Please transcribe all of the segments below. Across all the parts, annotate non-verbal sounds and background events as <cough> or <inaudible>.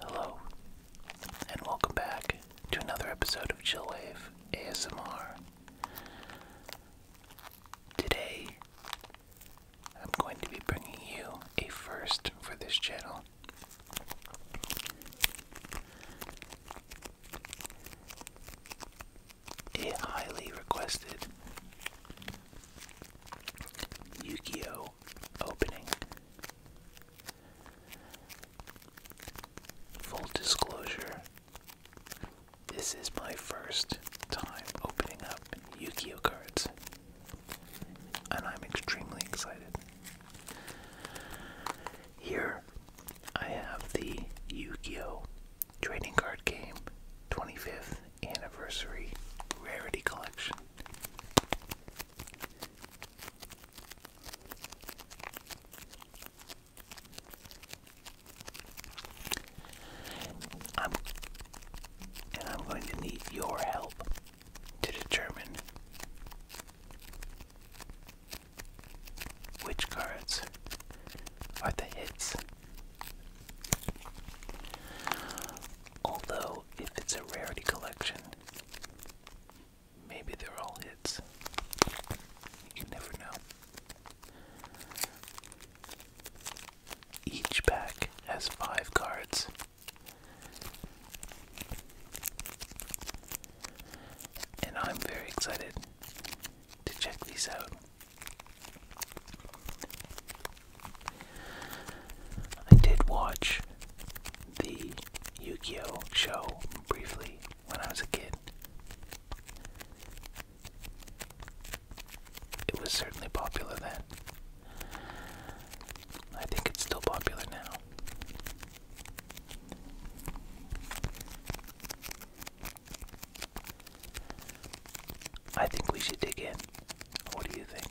Hello, and welcome back to another episode of Chillwave ASMR. Today, I'm going to be bringing you a first for this channel. It highly requested yu opening. Full disclosure, this is my first time opening up yu cards, and I'm extremely excited. Here I have the Yu Gi Oh! Trading Card Game 25th Anniversary Rarity Collection. I'm going to need your help to determine which cards are the hits? Although, if it's a rarity collection, maybe they're all hits. You never know. Each pack has five cards and I'm very excited to check these out. I did watch the Yu Gi Oh! show briefly when I was a kid. It was certainly popular then. I think it's still popular now. I think we should dig in. What do you think?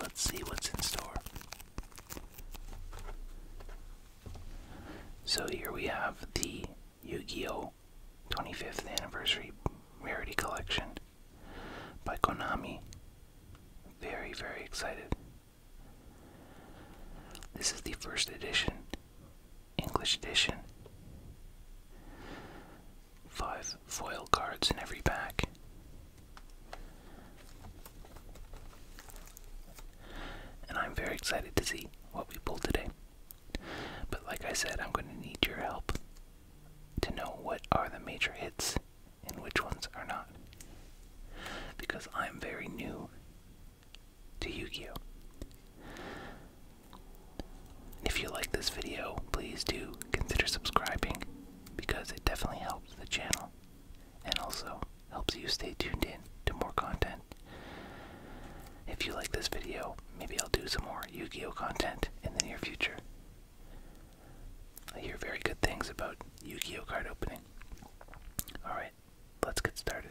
Let's see what's in store. So here we have the Yu Gi Oh! 25th Anniversary Rarity Collection by Konami. Very, very excited. This is the first edition, English edition five foil cards in every pack. And I'm very excited to see what we pull today. But like I said, I'm going to need your help to know what are the major hits and which ones are not. Because I'm very new to Yu Gi Oh! If you like this video, please do consider subscribing because it definitely helps the channel and also helps you stay tuned in to more content. If you like this video, maybe I'll do some more Yu Gi Oh! content in the near future. I hear very good things about Yu Gi Oh! card opening. Alright, let's get started.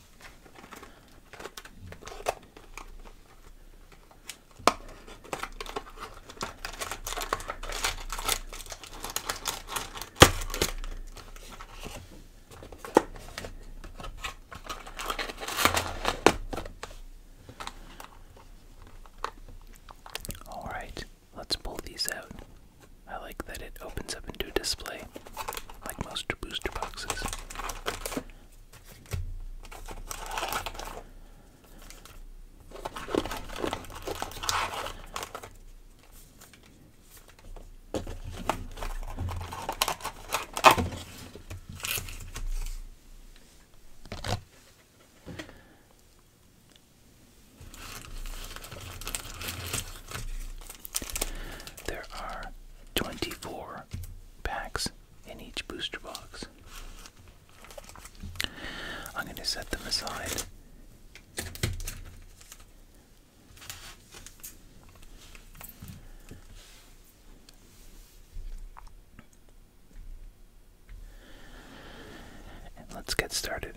All right, let's pull these out. I like that it opens up into display, like most booster boxes. There are 24 packs in each booster box. I'm going to set them aside. let's get started.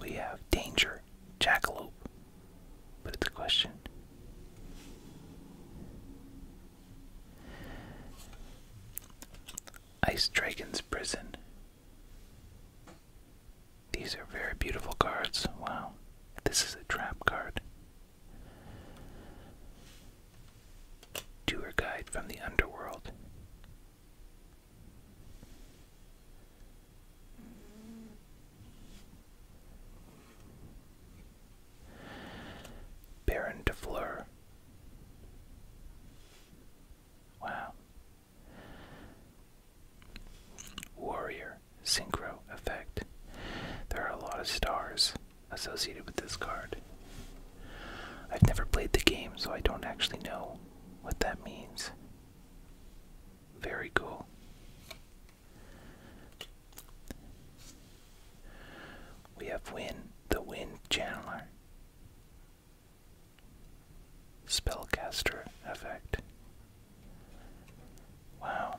We have danger, jackalope. But it's question. Ice Dragon's Prison. These are very beautiful cards. Wow. This is a trap card. Tour guide from the underworld. Baron de Fleur. Wow. Warrior, synchro effect. There are a lot of stars associated with this card. I've never played the game, so I don't actually know what that means. Very cool. We have Wind, the Wind Channeler, Spellcaster effect. Wow.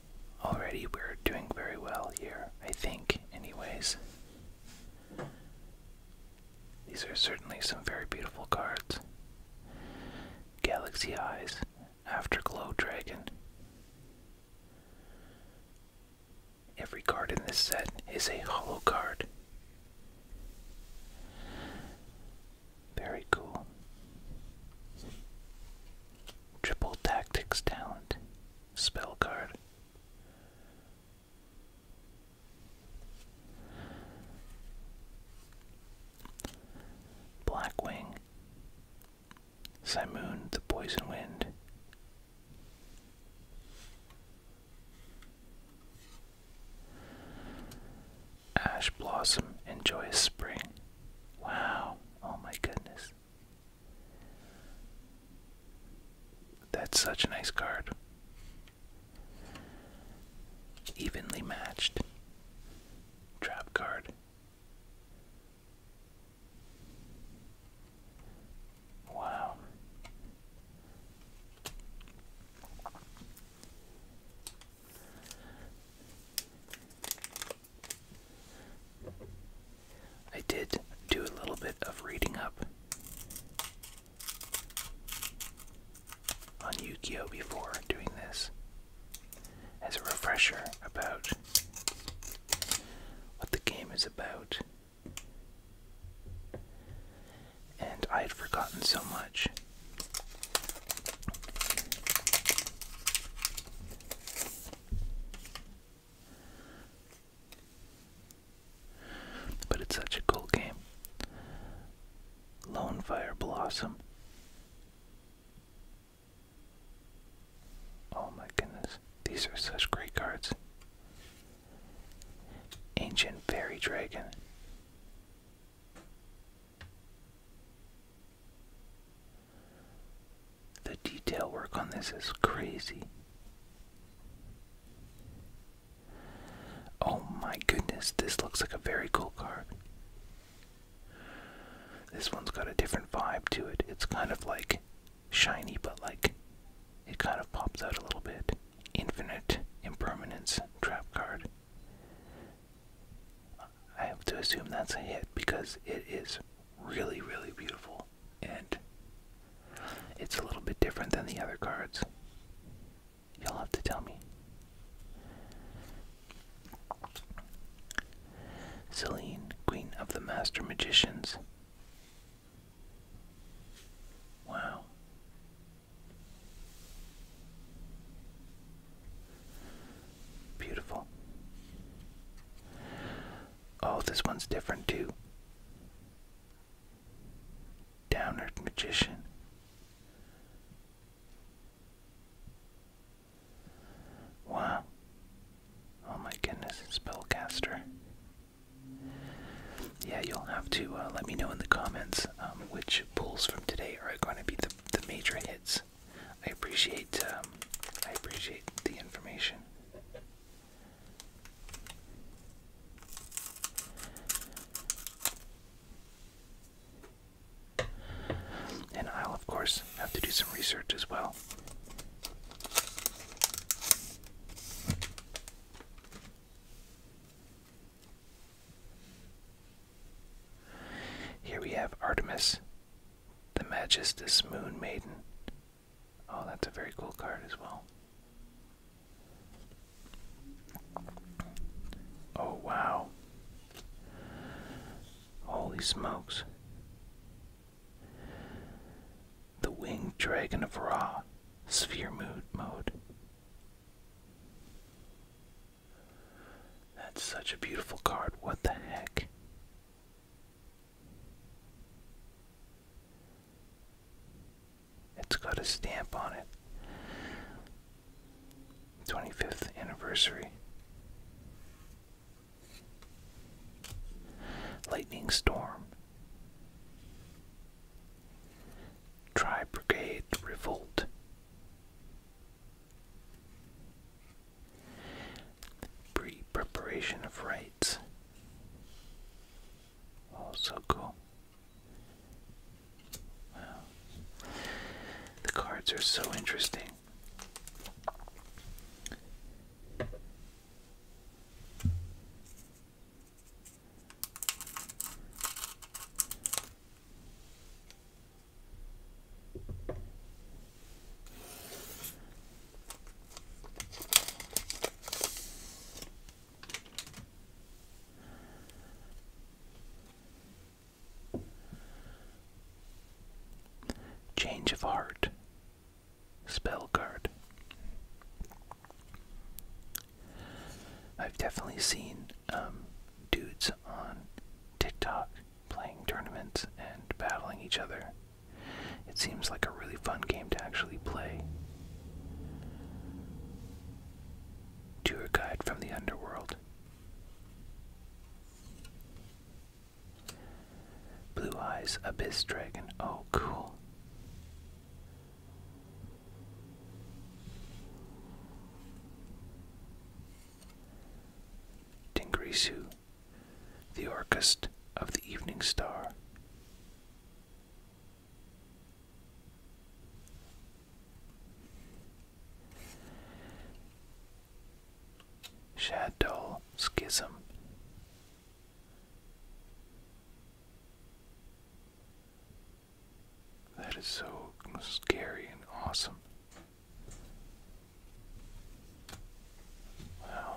already we're doing very well here, I think, anyways. These are certainly some very beautiful cards. Galaxy Eyes, Afterglow Dragon. Every card in this set is a hollow card. Very cool. Triple Tactics Talent spell card. Blackwing, Simoon the Poison Wind, Ash Blossom enjoy Spring. Wow, oh my goodness. That's such a nice card. Evenly matched. Trap card. Wow. I did do a little bit of reading up on Yukio before doing this as a refresher about what the game is about. And I had forgotten so much. But it's such a cool game. Lone Fire Blossom. Oh my goodness, these are such great cards. Ancient Fairy Dragon. The detail work on this is crazy. Oh my goodness, this looks like a very cool card. This one's got a different vibe to it. It's kind of like shiny, but like it kind of pops out a little bit. Infinite Impermanence Trap Card. I have to assume that's a hit because it is really, really beautiful and it's a little bit different than the other cards. You'll have to tell me. Selene, Queen of the Master Magicians. Wow. Beautiful. Oh, this one's different too. Downward Magician. Wow. Oh my goodness, Spellcaster. Yeah, you'll have to uh, let me know in the comments um, which pulls from today are going to be the, the major hits. I appreciate um, I appreciate the information. And I'll, of course, have to do some research as well. Here we have Artemis, the Magistus Moon Maiden, Oh, that's a very cool card as well. Oh, wow. Holy smokes. The Winged Dragon of Ra, Sphere Mode Mode. That's such a beautiful card. What the heck? It's got a stamp on it. 25th anniversary. Lightning storm. Tri Brigade Revolt. Pre preparation of rights. Oh, so cool. Wow. The cards are so interesting. Change of Heart Spell Card. I've definitely seen um, dudes on TikTok playing tournaments and battling each other. It seems like a really fun game to actually play. Tour guide from the underworld. Blue Eyes Abyss Dragon. Oh, cool. Dingrisu the Orchest of the Evening Star. Shadow Schism. That is so scary and awesome. Wow.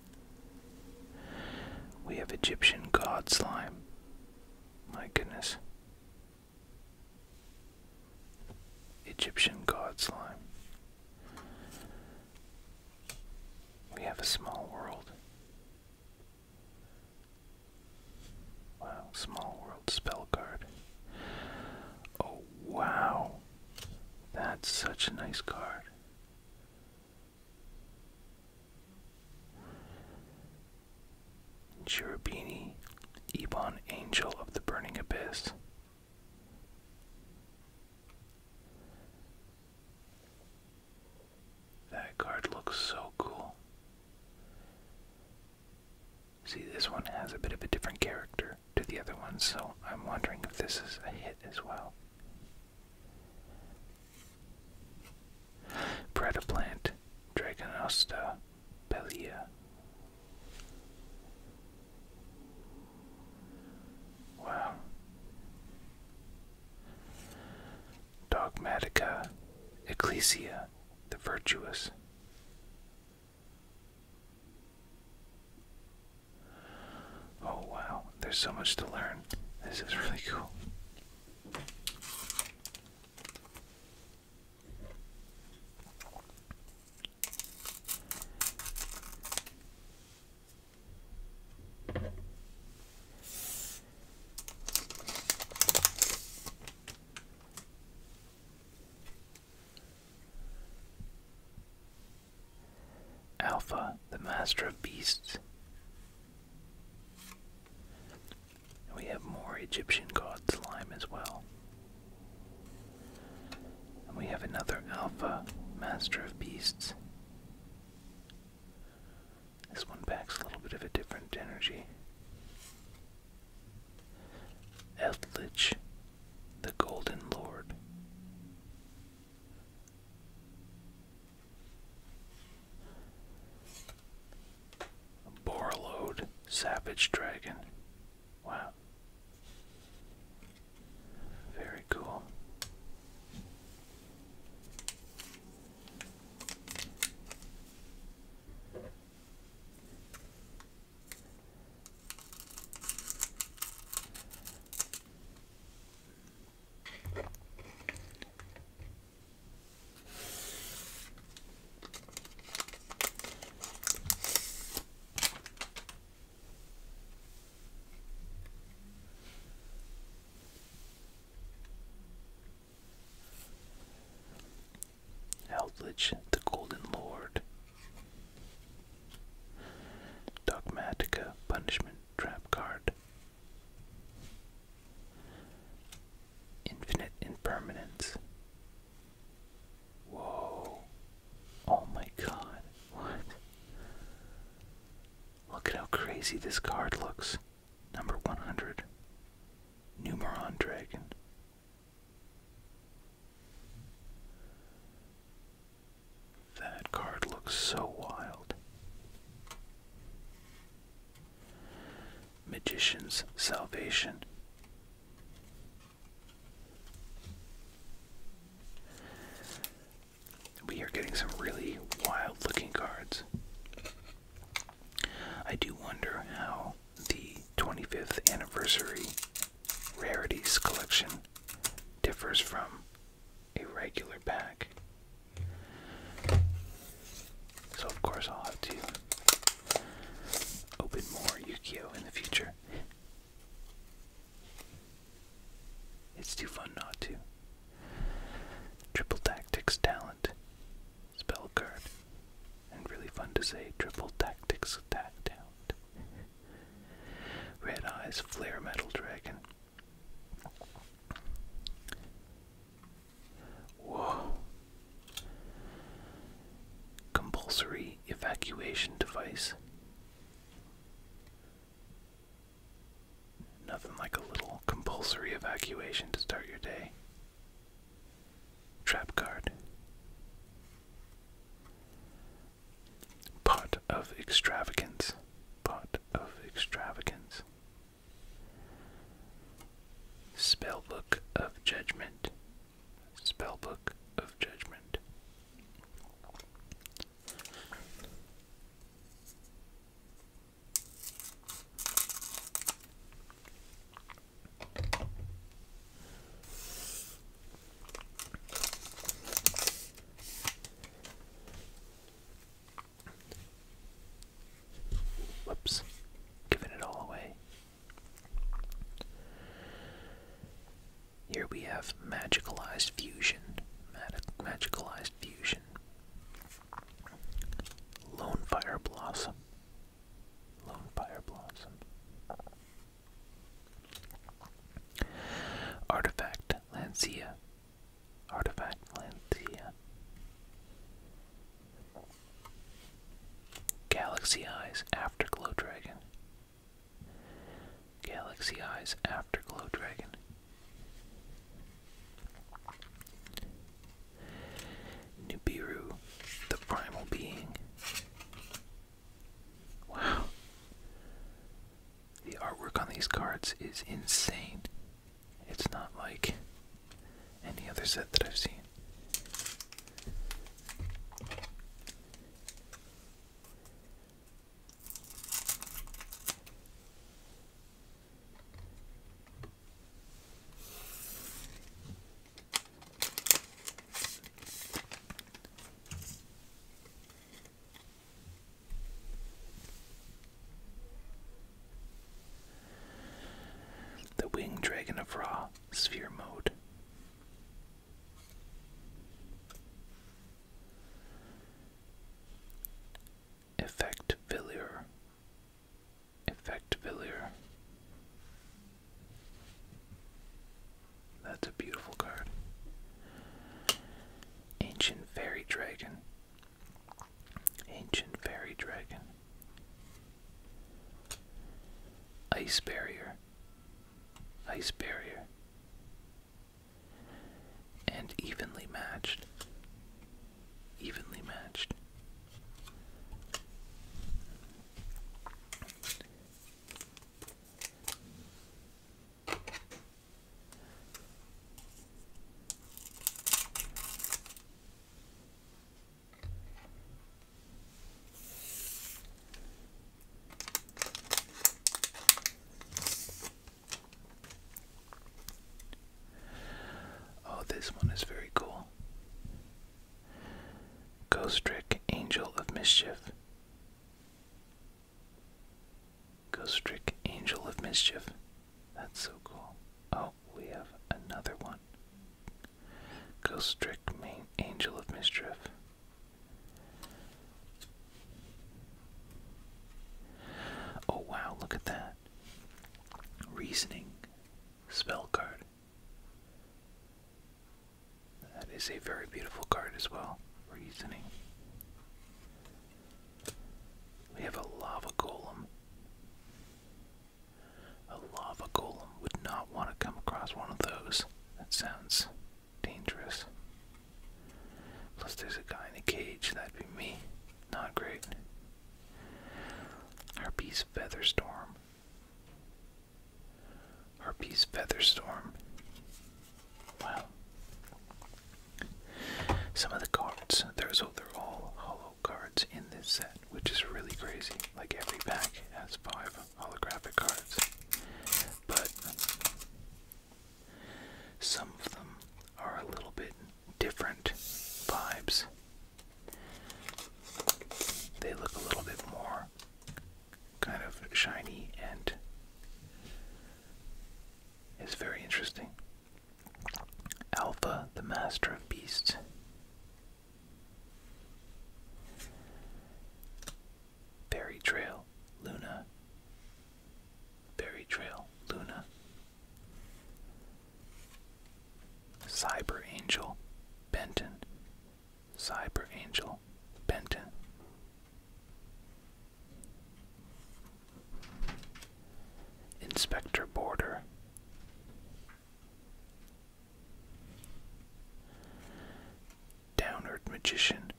We have Egyptian god slime. My goodness. Egyptian god slime. We have a small world. Wow, small world spell card. Oh, wow. That's such a nice card. Cherubini, Ebon, Angel of the Burning Abyss. That card looks so cool. See, this one has a bit of a different character to the other one, so I'm wondering if this is a hit as well. Predaplant, Dragonosta, Pelea. Wow. Dogmatica, Ecclesia, the Virtuous. Oh wow, there's so much to learn. This is really cool. Alpha, the master of beasts, we have more Egyptian god slime as well. And we have another Alpha, Master of Beasts. This one packs a little bit of a different energy. Eldritch, the Golden Lord. Borlode, Savage Dragon. Wow. Very cool. Eldritch, the Golden Lord. Dogmatica, Punishment Trap Card. Infinite impermanence. Whoa. Oh my god. What? Look at how crazy this card looks. Number 100. Numeron Dragon. That card looks so wild. Magician's Salvation. We are getting some really wild looking cards. I do wonder how the 25th anniversary rarities collection differs from a regular pack. So, of course, I'll have to open more Yukio in the future. It's too fun not to. Triple Tactics Talent, Spell Card, and really fun to say Triple Tactics Attack Talent. Red Eyes Flare Metal Dragon. Whoa. Compulsory evacuation device. Nothing like a little compulsory evacuation to start your day. Trap card. Pot of extravagance. Pot of extravagance. Spellbook of Judgment. Spellbook of Judgment. Whoops. Giving it all away. Here we have magicalized fusion. magicalized fusion. Lone Fire Blossom. Lone Fire Blossom. Artifact Lancia Artifact Lanthea. Galaxy Eyes Afterglow Dragon. Galaxy Eyes Afterglow Dragon. Nibiru, the primal being. Wow. The artwork on these cards is insane. It's not like any other set that I've seen. The Winged Dragon of Ra, Sphere Mode. Effect Villier. Effect Villier. That's a beautiful card. Ancient Fairy Dragon. Ancient Fairy Dragon. Ice Barrier. Ice Barrier. And evenly matched. Evenly matched. Oh, this one is very cool. Ghost Angel of Mischief. Ghost Angel of Mischief. That's so cool. Oh, we have another one. Ghost Trick, main Angel of Mischief. Oh wow, look at that. Reasoning. Spell card. That is a very beautiful card as well. Reasoning. We have a lava golem. A lava golem would not want to come across one of those. That sounds dangerous. Plus, there's a guy in a cage. That'd be me. Not great. Harpy's Featherstorm. Harpy's Featherstorm. Wow. Some of the cards, there's, oh, they're all hollow cards in this set, which is really crazy. Like every pack has five holographic cards. But some of them are a little bit different vibes. They look a little bit more kind of shiny and it's very interesting. Alpha, the master of beasts. Fairy Trail, Luna. Fairy Trail, Luna. Cyber Angel, Benton. Cyber Angel, Benton. Inspector Border. Downward Magician.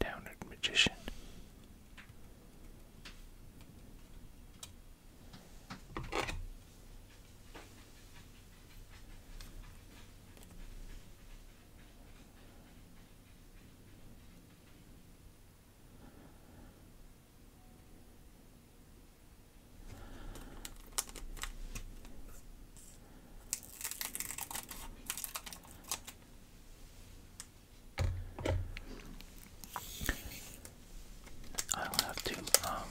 Downward Magician. I will have to um,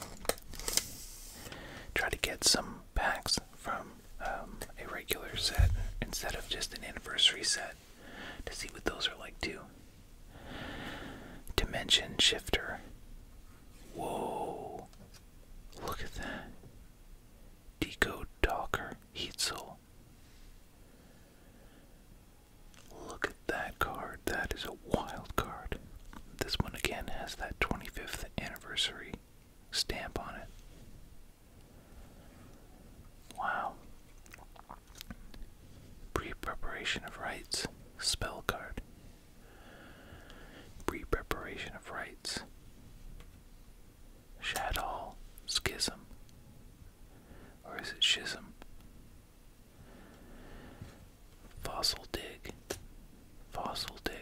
try to get some packs from um, a regular set instead of just an anniversary set to see what those are like too. Dimension Shifter. Whoa. Look at that. Decode Docker Heatzel. Look at that card. That is a wild card. This one again has that 25th anniversary stamp on it. Wow. Pre preparation of rights spell card. Pre preparation of rites. Shadow, schism. Or is it schism? Fossil dig. Fossil dig.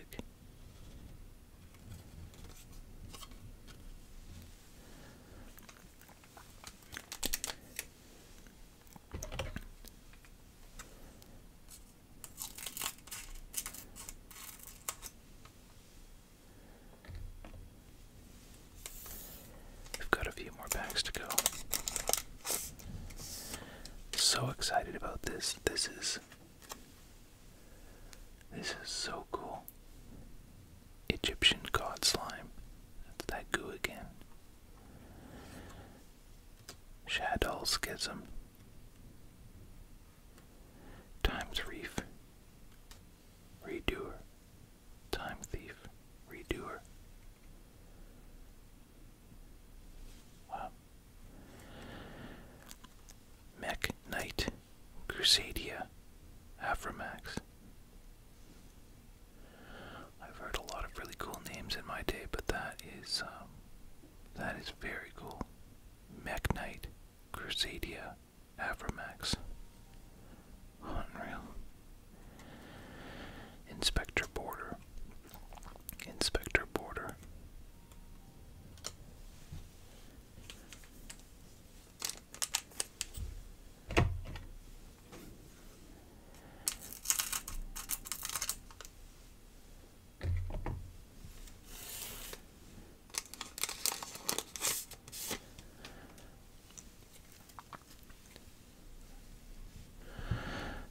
We've got a few more packs to go. So excited about this. This is This is so cool. Egyptian god slime. That's that goo again. Shadow Schism Times Reef Redoer Time Thief Redoer Mech Knight Crusadia Aframax I've heard a lot of really cool names in my day, but that is um, that is very cool. Mech Knight, Crusadia, Avramax. Unreal. Inspector Border. Inspector Border.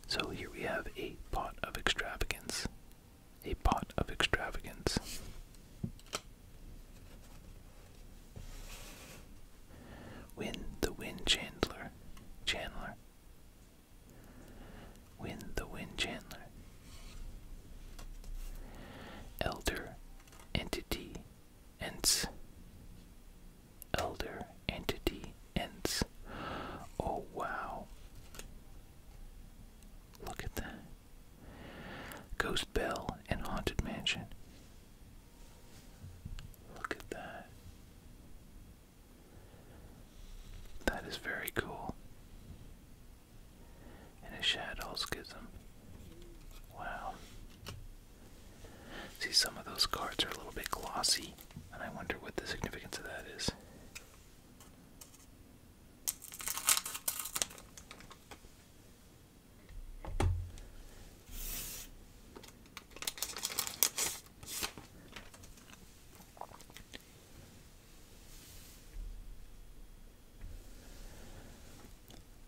So here we have a pot of extravagance. A pot of extravagance. Wind the Wind Chandler. Chandler. Wind the Wind Chandler. Elder Entity Ents. Elder Entity Ents. Oh wow. Look at that. Ghost Bell and Haunted Mansion. Look at that. That is very cool. And a shadow schism. Wow. See, some of those cards are a little bit glossy, and I wonder what the significance of that is.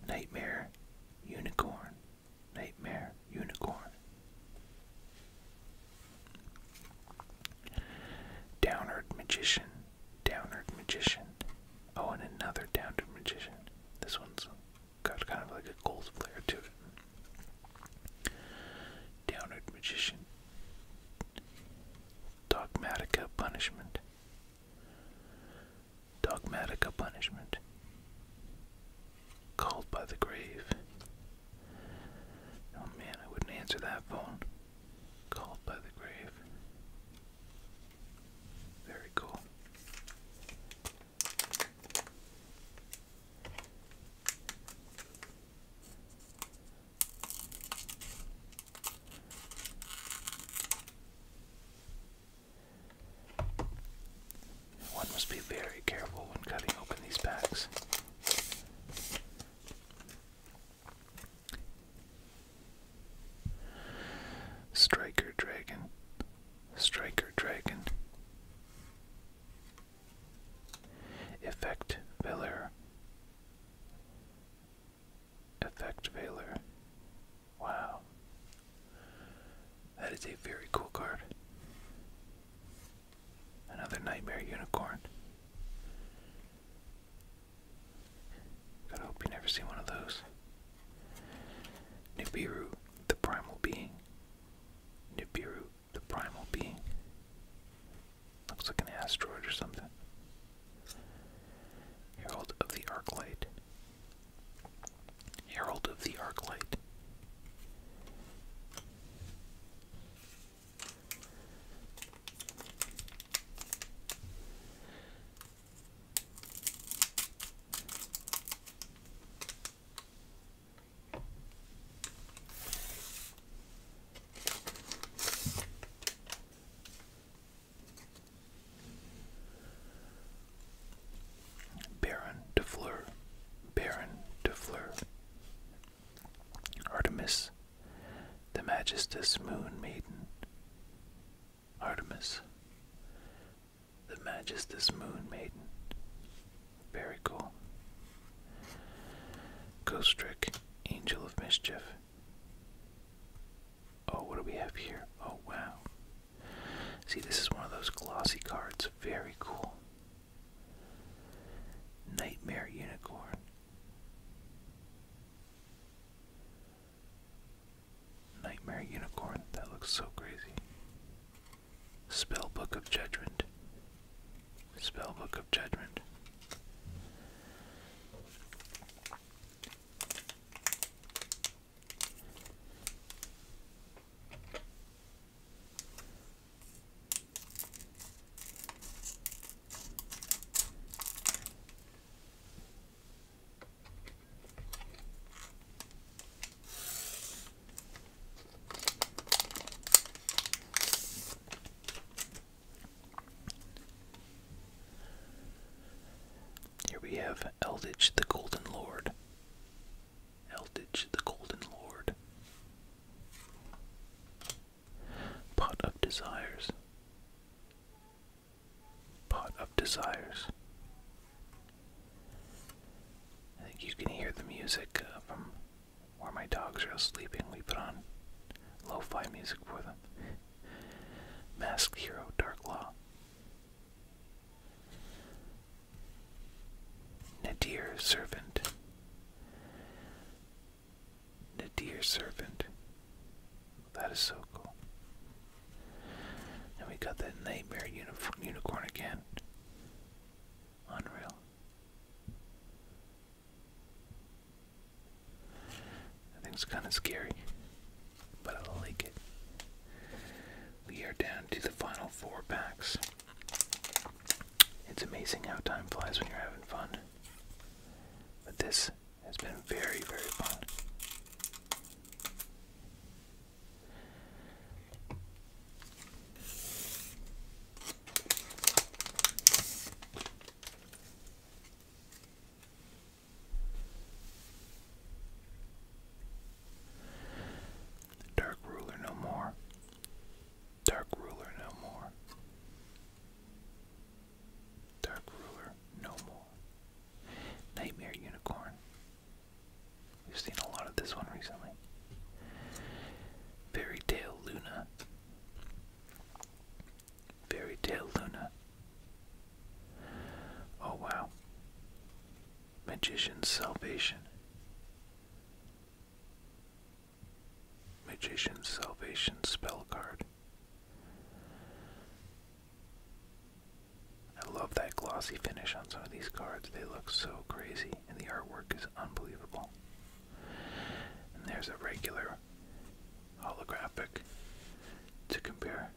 Nightmare Unicorn. Nightmare Unicorn. Downward Magician. Downward Magician. Oh, and another Downward Magician. This one's got kind of like a gold flair to it. Downward Magician, Dogmatica Punishment, Dogmatica Punishment, Called by the Grave. Oh man, I wouldn't answer that phone. Called by the Grave. Very cool. One must be very careful when cutting open these packs. Striker Dragon, Striker Dragon, Effect Velar. Effect Velar. Wow. That is a very cool card. Another Nightmare Unicorn. Gotta hope you never see one of those. Nibiru, the primal being, Nibiru, the primal being. Looks like an asteroid or something. Herald of the Arc Light. Herald of the Arc Light. Baron de Fleur, Baron de Fleur. Artemis, the Majestus Moon Maiden. Artemis, the matches moon maiden. Very cool. Ghost Trick, Angel of Mischief. Oh, what do we have here? Oh, wow. See, this is one of those glossy cards. Very cool. Nightmare Unicorn. Nightmare Unicorn. That looks so crazy. Spell book of Judgment. Spell book of Judgment. Here we have Elditch the Golden Lord. Elditch the Golden Lord. Pot of Desires. Pot of Desires. I think you can hear the music uh, from where my dogs are sleeping. We put on lo fi music for them. Masked Hero Dark Law. Nadir Servant. Nadir Servant. That is so cool. And we got that Nightmare uni Unicorn again. Unreal. I think it's kind of scary, but I like it. We are down to the final four packs. It's amazing how time flies when you're having fun. But this has been very, very fun. Dark ruler no more. Dark ruler no more. Dark ruler no more. Nightmare unicorn. We've seen a lot of this one recently. Fairy Tale Luna. Fairy Tale Luna. Oh wow. Magician's Salvation. Magician's Salvation spell card. I love that glossy finish on some of these cards. They look so crazy and the artwork is unbelievable. And there's a regular holographic to compare.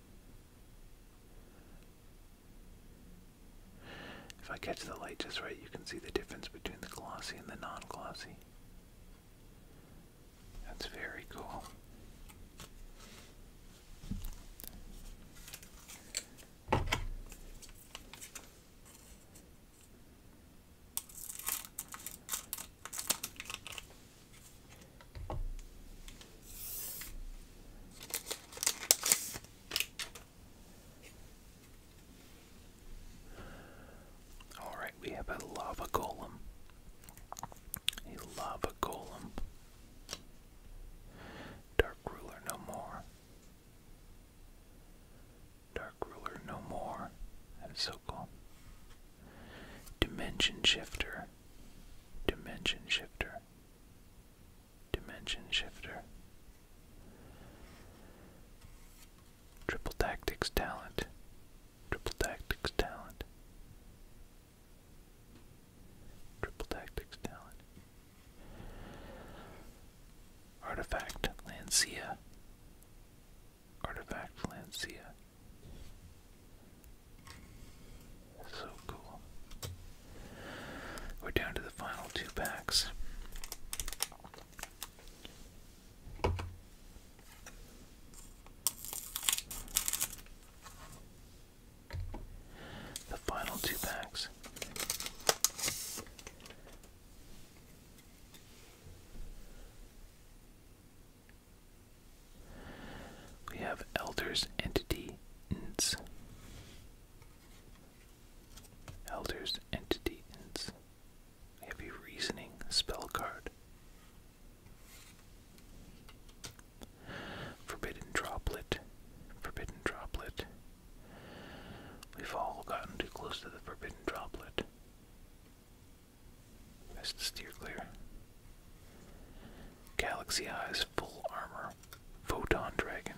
If I catch the light just right, you can see the difference between the glossy and the non glossy. That's very cool. Alright, we have a lava golem. A lava golem. Dark ruler no more. Dark Ruler No More and Sokol. Dimension Shifter. Dimension Shifter. Dimension Shifter. Triple Tactics Talent. Triple Tactics Talent. Triple Tactics Talent. Artifact Lancia. Artifact Lancia. So cool. We're down to the final two packs. The final two packs. We have elders entities. ents. Elders entity ents. have a reasoning spell card. Forbidden droplet. Forbidden droplet. We've all gotten too close to the forbidden droplet. Best to steer clear. Galaxy Eyes Full Armor. Photon Dragon.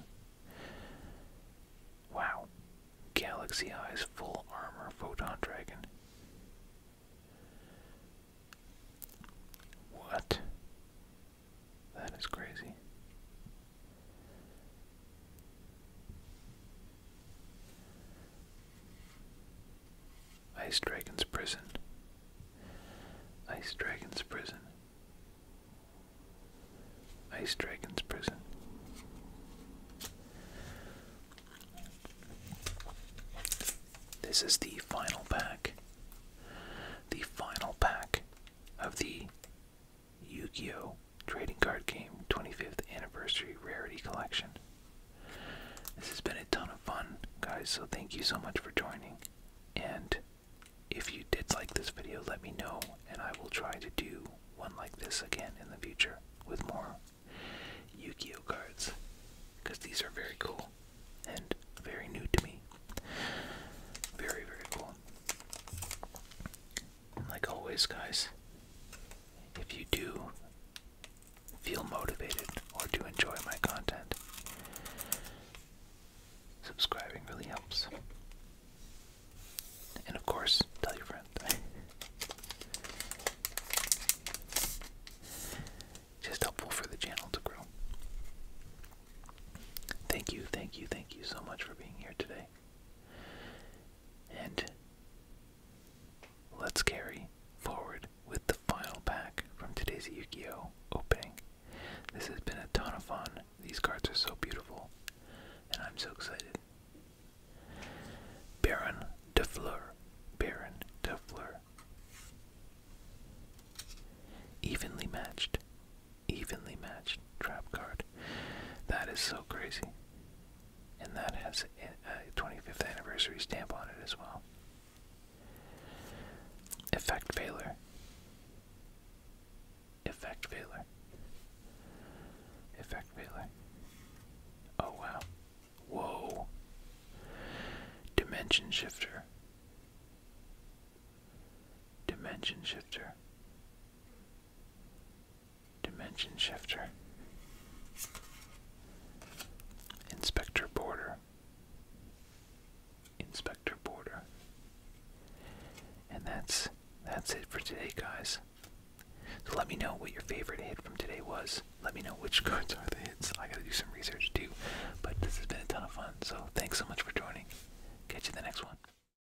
Wow. Galaxy Eyes Full Armor Photon Dragon. What? That is crazy. Ice Dragon's Prison. Ice Dragon's Prison. Ice Dragon's Prison. This is the final pack. The final pack of the Yu-Gi-Oh! Trading Card Game 25th Anniversary Rarity Collection. This has been a ton of fun, guys, so thank you so much for joining. And if you did like this video, let me know, and I will try to do one like this again in the future with more Yu-Gi-Oh! cards. Because these are very cool and very new to me. Very, very cool like always, guys, if you do feel motivated or do enjoy my content, subscribing really helps. And of course, tell your friends. <laughs> Just helpful for the channel to grow. Thank you, thank you, thank you so much for being here today. And let's carry forward with the final pack from today's Yu Gi Oh! opening. This has been a ton of fun. These cards are so beautiful, and I'm so excited. Baron de Fleur, Baron de Fleur, Evenly matched evenly matched trap card. That is so crazy. And that has a 25th anniversary stamp on it as well. Effect failure. Effect failure. Effect failure. Oh wow. Whoa. Dimension shifter. Dimension shifter. Dimension Shifter, Inspector Border, Inspector Border. And that's that's it for today, guys. So let me know what your favorite hit from today was. Let me know which <laughs> cards are the hits. I gotta do some research too. But this has been a ton of fun. So thanks so much for joining. Catch you in the next one.